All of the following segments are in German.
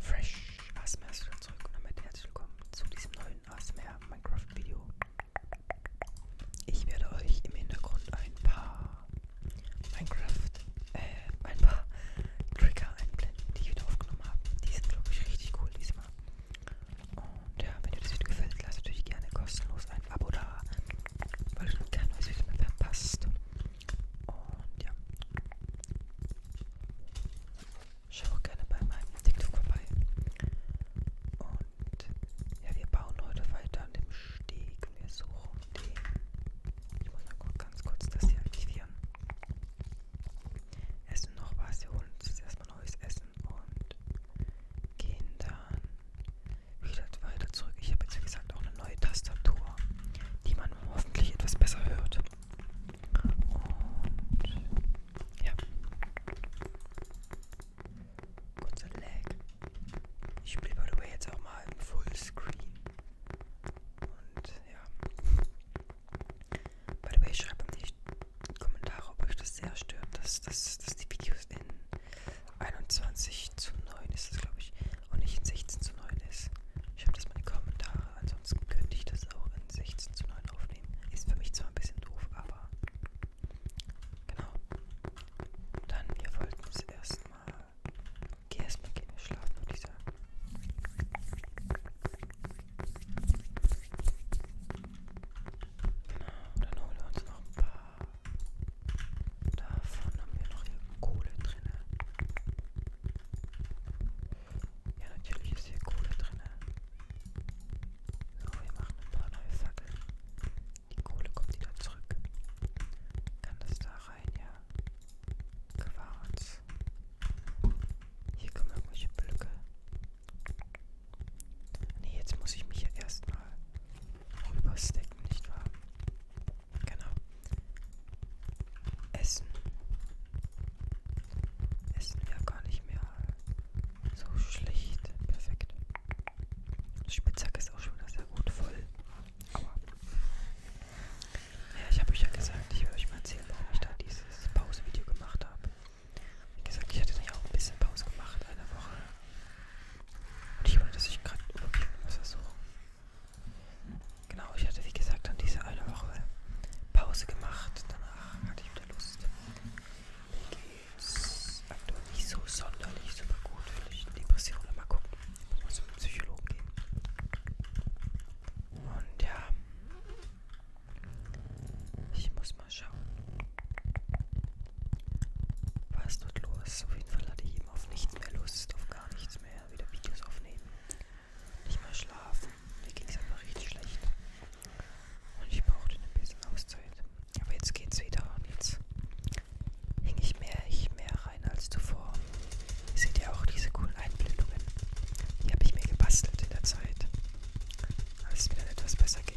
Fresh ASMR ist wieder zurück und damit herzlich willkommen zu diesem neuen ASMR Minecraft Video. Ich werde euch im Hintergrund ein paar Minecraft, äh, ein paar Trigger einblenden, die ich wieder aufgenommen habe. Die sind glaube ich richtig cool diesmal. Und ja, wenn dir das Video gefällt, lasst natürlich gerne kostenlos ein Abo da, weil du kein neues Video mehr verpasst. Und ja, Schau auch gerne bei meinem TikTok vorbei. Und ja, wir bauen heute weiter an dem Steg. Wir suchen den. Ich muss mal ganz kurz das hier aktivieren. Essen noch was. Wir holen uns jetzt erstmal neues Essen und gehen dann wieder weiter zurück. Ich habe jetzt, wie gesagt, auch eine neue Tastatur, die man hoffentlich etwas besser hört. Und ja. Kurzer Lag. Ich spiele by the way jetzt auch mal im Fullscreen. Und ja. By the way, schreibt mir die Kommentare, ob euch das sehr stört, dass, dass, dass die Videos in 21 zu 9 ist, glaube ich, und nicht in 16 zu 9 ist. Schreibt das mal in die Kommentare ansonsten also könnte ich das auch in 16 zu 9 aufnehmen. Ist für mich zwar ein bisschen doof, aber genau. Dann, wir wollten es erstmal. Geh erstmal, gehen wir schlafen, würde ich sagen. Genau, dann holen wir uns noch ein paar. Davon haben wir noch hier Kohle drin. Ja, natürlich ist hier Kohle drin. So, wir machen ein paar neue Fackeln. Die Kohle kommt wieder zurück. Kann das da rein? Ja. Quarz. Hier kommen irgendwelche Blöcke. Nee, jetzt muss ich mich ja erstmal rüberstecken, nicht wahr? Genau. Essen. Essen ja gar nicht mehr so schlicht. Perfekt. Spitzhack ist auch schon wieder sehr gut voll. Aua. Ja, ich habe euch ja gesagt, ich will euch mal erzählen, warum ich da dieses Pause-Video gemacht habe. Wie gesagt, ich hatte ja auch ein bisschen Pause gemacht, eine Woche. Und ich wollte, dass ich gerade irgendwie was versuche. Genau, ich hatte wie gesagt dann diese eine Woche Pause gemacht. Danach hatte ich wieder Lust. Mir geht's aktuell nicht so sonderlich super gut. Vielleicht Depression, mal gucken. Man muss mit dem Psychologen gehen. Und ja, ich muss mal schauen, was dort los ist. Auf jeden Fall hatte ich eben auf nichts mehr Lust, auf gar nichts mehr, wieder Videos aufnehmen nicht mehr schlafen. Mir ging es einfach richtig schlecht. Und ich brauchte ein bisschen Auszeit. Aber jetzt geht's wieder und jetzt hing ich mehr, ich mehr rein als zuvor. Ihr seht ja auch diese coolen Einblendungen. Die habe ich mir gebastelt in der Zeit. Als es mir dann etwas besser ging.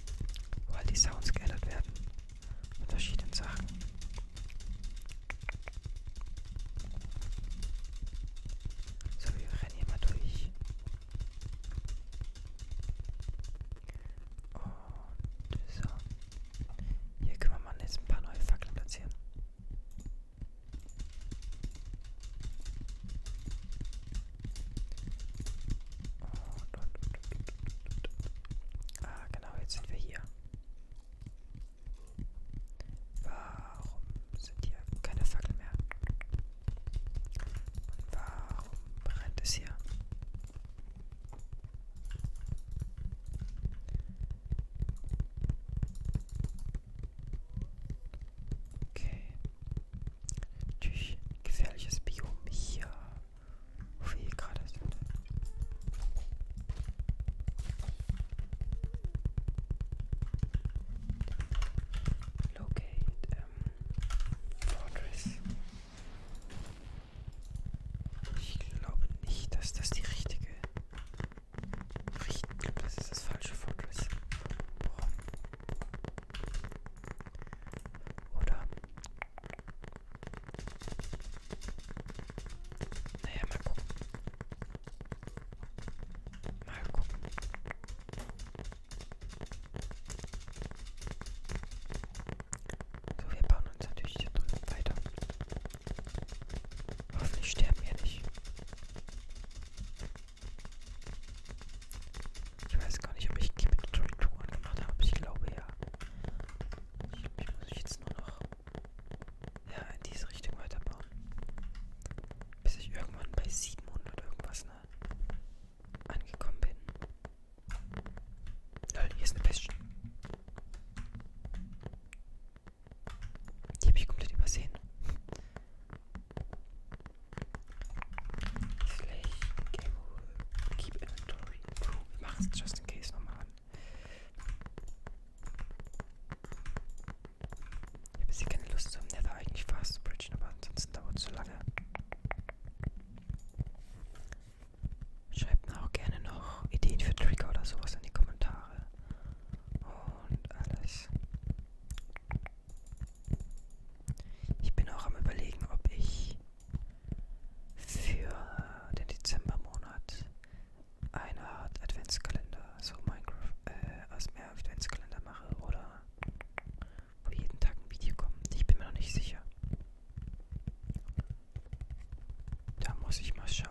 weil die Sounds geändert werden mit verschiedenen Sachen. So, wir rennen hier mal durch. Und so. Hier können wir mal jetzt ein paar neue Fackeln platzieren. Und, und, und, und, und. Ah, genau, jetzt sind wir hier. Warum sind hier keine Fackeln mehr? Und warum brennt es hier? Okay. Natürlich gefährliches Biom hier wie viel gerade sind. Locate ähm, Fortress. Ich glaube nicht, dass das die richtige. Richt, ich glaube, das ist das falsche Fortress. Warum? Oder? Naja, mal gucken. Mal gucken. So, wir bauen uns natürlich hier drüben weiter. Hoffentlich sterben wir nicht. Ich weiß gar nicht, ob ich Keep It Tutorial gemacht habe. Ich glaube ja. Ich, ich muss jetzt nur noch ja, in diese Richtung weiterbauen. Bis ich irgendwann bei 700 irgendwas ne, angekommen bin. Lol, hier ist eine Pest. Die habe ich komplett übersehen. Vielleicht Game Keep Inventory. Wir machen es just in case nochmal an. Ich habe jetzt hier keine Lust zum Nether eigentlich fast zu bridgen, aber ansonsten dauert es zu lange. Schreibt mir auch gerne noch Ideen für Trigger oder sowas in die Kommentare. Und alles. Ich bin auch am Überlegen, ob ich für den Dezembermonat eine Art Adventskalender, so Minecraft, äh, als mehr Adventskalender mache oder wo jeden Tag ein Video kommt. Ich bin mir noch nicht sicher. Da muss ich mal schauen.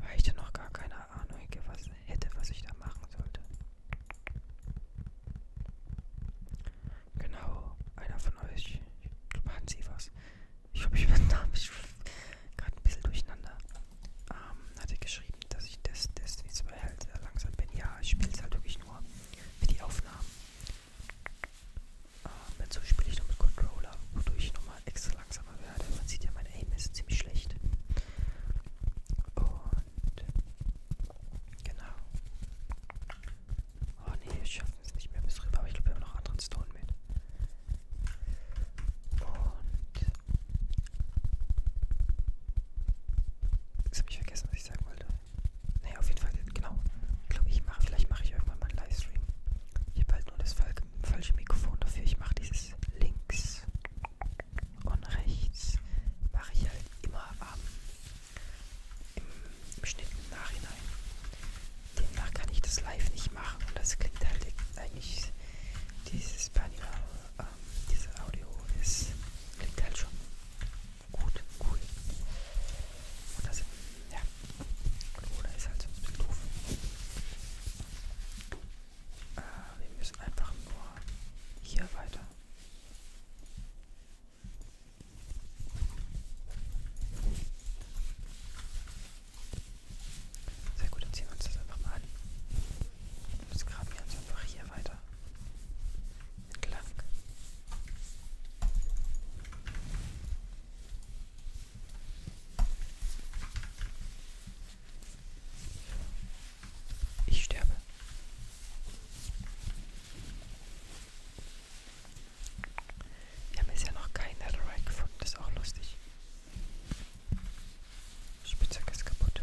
Weil ich da noch gar keine keine Ahnung was hätte, was ich da machen sollte. Genau, einer von euch hat sie was. Ich glaube, ich bin da gerade ein bisschen durcheinander. Ähm, hatte geschrieben, dass ich das Destiny 2 halt sehr langsam bin. Ja, ich spiele es halt wirklich nur für die Aufnahmen. Ähm, dazu spiele ich noch mit Controller, wodurch ich nochmal extra langsam langsamer werde. Man sieht ja, mein Aim ist ziemlich schlecht. Und genau. Oh ne, wir schaffen es nicht mehr bis rüber, aber ich glaube, wir haben noch anderen Stone mit. Und jetzt habe ich vergessen, was ich sagen wollte. Naja, auf jeden Fall, genau. Ich glaube, ich mache, vielleicht mache ich irgendwann mal einen Livestream. Ich habe halt nur das falsche Mikrofon dafür. Ich mache dieses links und rechts mache ich halt immer ähm, im, im Schnitt im Nachhinein. Demnach kann ich das live nicht machen und das klingt halt eigentlich dieses Panel, ähm, dieses Audio ist klingt halt schon gut, cool. Und das ja, Corona ist halt so ein bisschen doof. Äh, wir müssen einfach nur hier weiter. Sehr gut, dann ziehen wir uns das einfach mal an. Jetzt graben wir uns einfach hier weiter. Entlang. Ich sterbe. Wir haben jetzt ja noch kein Netherite gefunden, das ist auch lustig. Spitzhacke ist kaputt.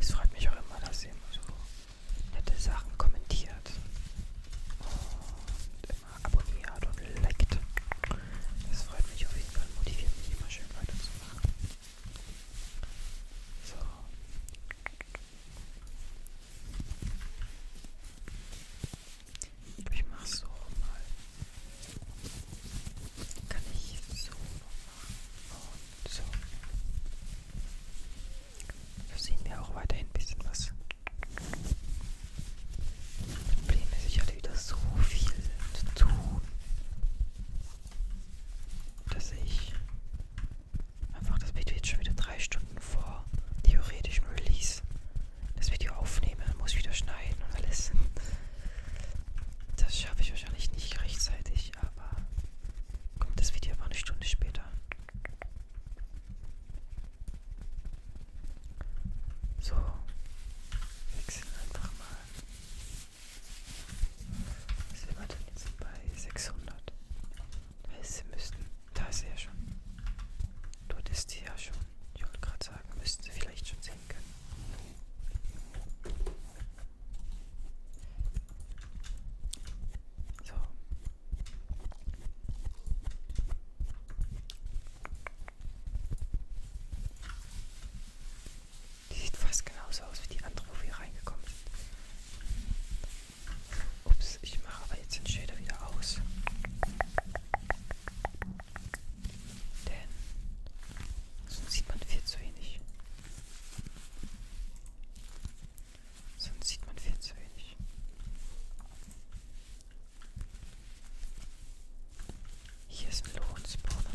Es freut mich auch immer, dass ihr immer so nette Sachen kommentiert und immer abonniert und liked. Das freut mich auf jeden Fall, motiviert mich immer schön weiterzumachen. So. Ich mach so mal. Kann ich so noch machen? Oh, und so. So sehen wir auch weiterhin ein bisschen was. Das Problem ist, ich hatte wieder so viel zu tun, dass ich einfach das Video jetzt schon wieder drei Stunden vor theoretischem Release das Video aufnehme, muss wieder schneiden und alles. Das schaffe ich wahrscheinlich nicht rechtzeitig, aber Kommt das Video aber eine Stunde später. So, wechseln einfach mal. Was sind wir denn jetzt bei 600? Sie müssten, da ist sie ja schon. Dort ist sie ja schon. Ich wollte gerade sagen, müssten sie vielleicht schon sehen können. So. Die sieht fast genauso aus wie die andere, wo wir reingekommen sind. Ups, ich mache aber jetzt den Shader wieder aus. Denn Sonst sieht man viel zu wenig. Sonst sieht man viel zu wenig. Hier ist ein Lohnspawner.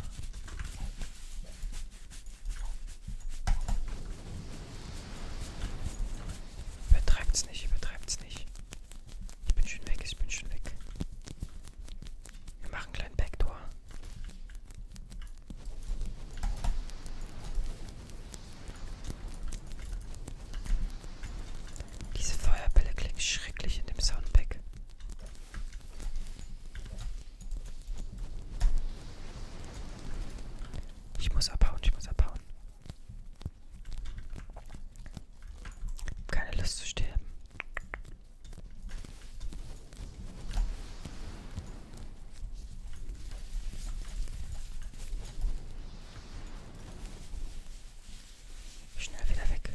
Übertreibt's nicht, übertreibt's nicht. Ich bin schon weg, ich bin schon weg. Wir machen einen kleinen Backdoor. Diese Feuerbälle klingen schrecklich in dem Soundpack. Ich muss abhauen, ich muss abhauen. Keine Lust zu sterben. Schnell wieder weg.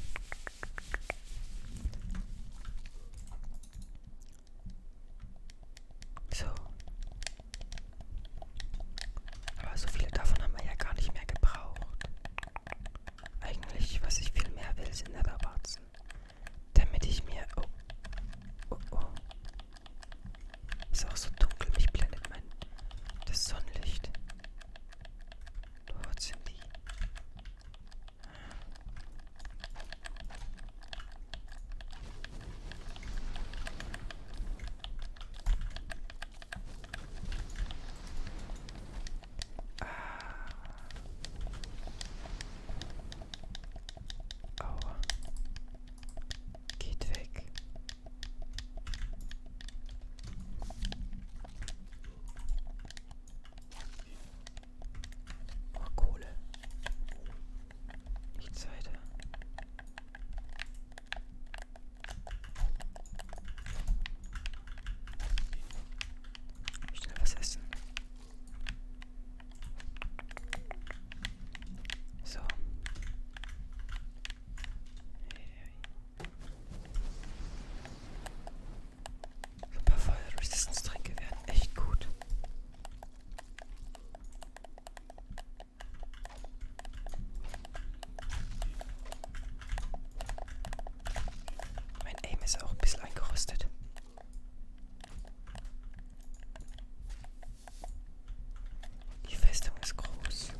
So. Aber so viele davon haben wir ja gar nicht mehr gebraucht. Eigentlich, was ich viel mehr will, sind Netherwarzen damit ich mir... Oh. Oh, oh. Ist auch so dunkel, mich blendet mein... Das Sonnenlicht. Dort sind die. Ah. Aua. Geht weg. Oh, Kohle. Nichts weiter. Schnell was essen. So. So ein paar Feuer Resistance Tränke wären echt gut. Mein Aim ist auch ein bisschen eingerostet. Die Festung ist groß.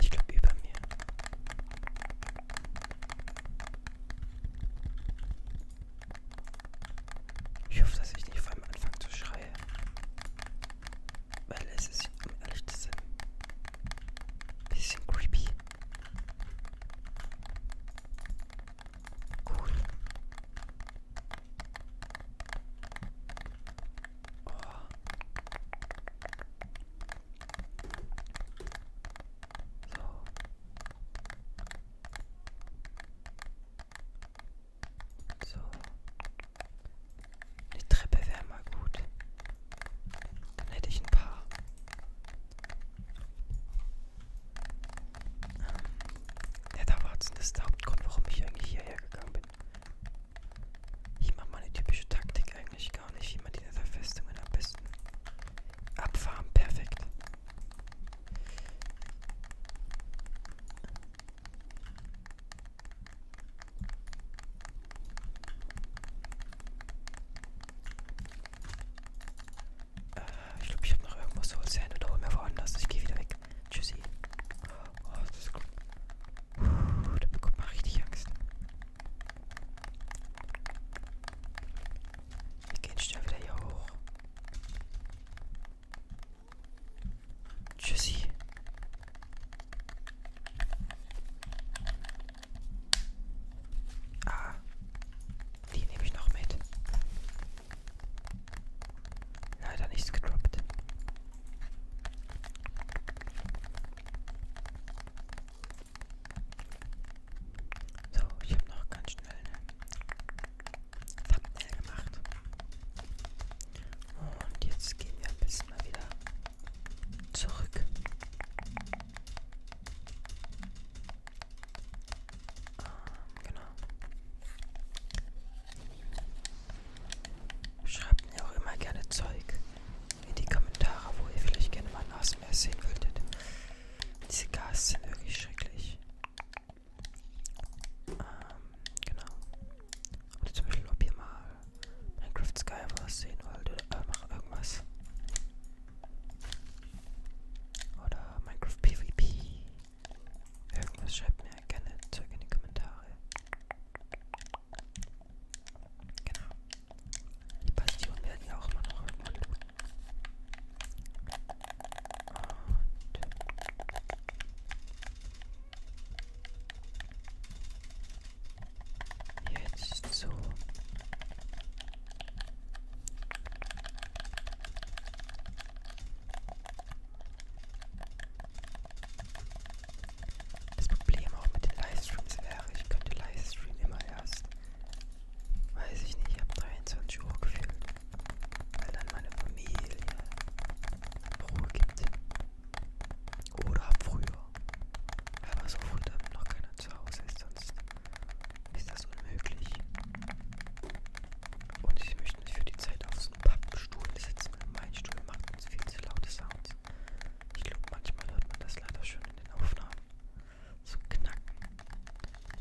Ich glaube über mir. Ich hoffe, dass ich nicht vor allem anfange zu schreien. Weil es ist, um ehrlich zu sein, ein bisschen creepy. Cool. Oh. So. So. Eine Treppe wäre mal gut. Dann hätte ich ein paar. Ähm, ja, da war's. Das ist der Hauptgrund, warum ich eigentlich hierher gegangen bin. Ich mache meine typische Taktik eigentlich gar nicht, wie man die Netherfestungen am besten abfarmen. Perfekt. Äh, ich glaube, ich habe noch irgendwas zu erzählen oder hol mir woanders. Ich gehe wieder weg. Tschüssi. Oh, das ist gut. Puh, da bekommt man richtig Angst. Wir gehen schnell wieder hier hoch. Tschüssi. Ah, die nehme ich noch mit. Leider nichts gedroppt. So, ich habe noch ganz schnell eine Thumbnail gemacht. Und jetzt gehen wir am besten mal wieder zurück. Ähm, genau. Schreibt mir auch immer gerne Zeug in die Kommentare, wo ihr vielleicht gerne mal ein ASMR sehen würdet. Diese Gas sind wirklich schrecklich. Ähm, genau. Oder zum Beispiel, ob ihr mal Minecraft Skywars sehen wollt oder äh, mach irgendwas. Oder Minecraft PvP. Irgendwas schreibt mir gerne zurück in die Kommentare. Genau. Die Bastionen werden ja auch immer noch irgendwann. Und jetzt so. Das Problem auch mit den Livestreams wäre, ich könnte Livestream immer erst, weiß ich nicht, ab 23 Uhr gefilmt weil dann meine Familie Ruhe gibt. Oder früher. Aber so früh, damit noch keiner zu Hause ist, sonst ist das unmöglich. Und ich möchte nicht für die Zeit auf so einem Pappstuhl sitzen. Mein Stuhl macht uns viel zu laute Sounds. Ich glaube, manchmal hört man das leider schon in den Aufnahmen. So knacken.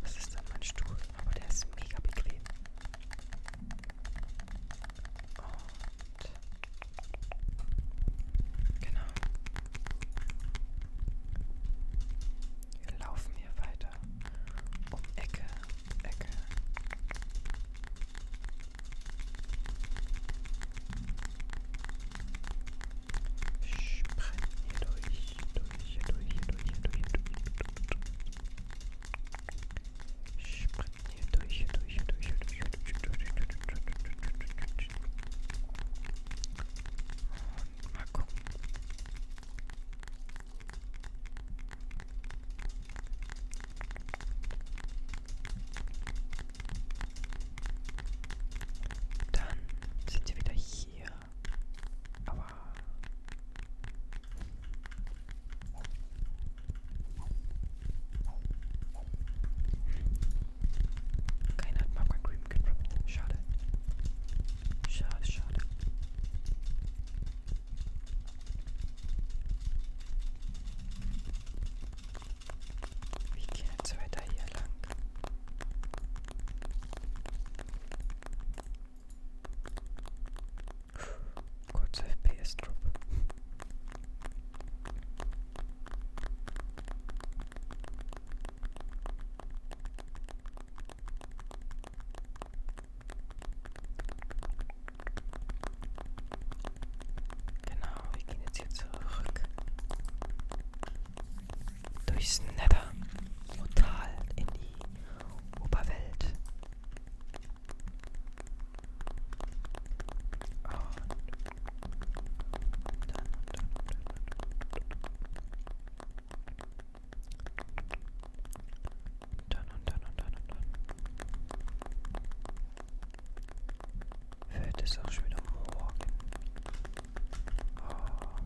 Das ist dann mein Stuhl, aber der ist mega bequem. Und genau. Wir laufen hier weiter um Ecke, Ecke. Sprengen hier durch, durch, hier durch, hier durch, hier durch, hier durch. Springen hier durch, hier durch, hier durch, hier durch, hier durch, hier durch, hier durch. Und mal gucken. Dann sind wir wieder hier. Aber keiner hat Magma Cream gedroppt. Schade. Schade, schade. Ich gehe jetzt weiter hier lang. Kurzer FPS-Drop. Genau, wir gehen jetzt hier zurück. Durchs Nether. Total in die Oberwelt. Und dann, und dann, und dann, und dann, und dann, und dann, und dann. Wird es auch schon wieder morgen? Oh.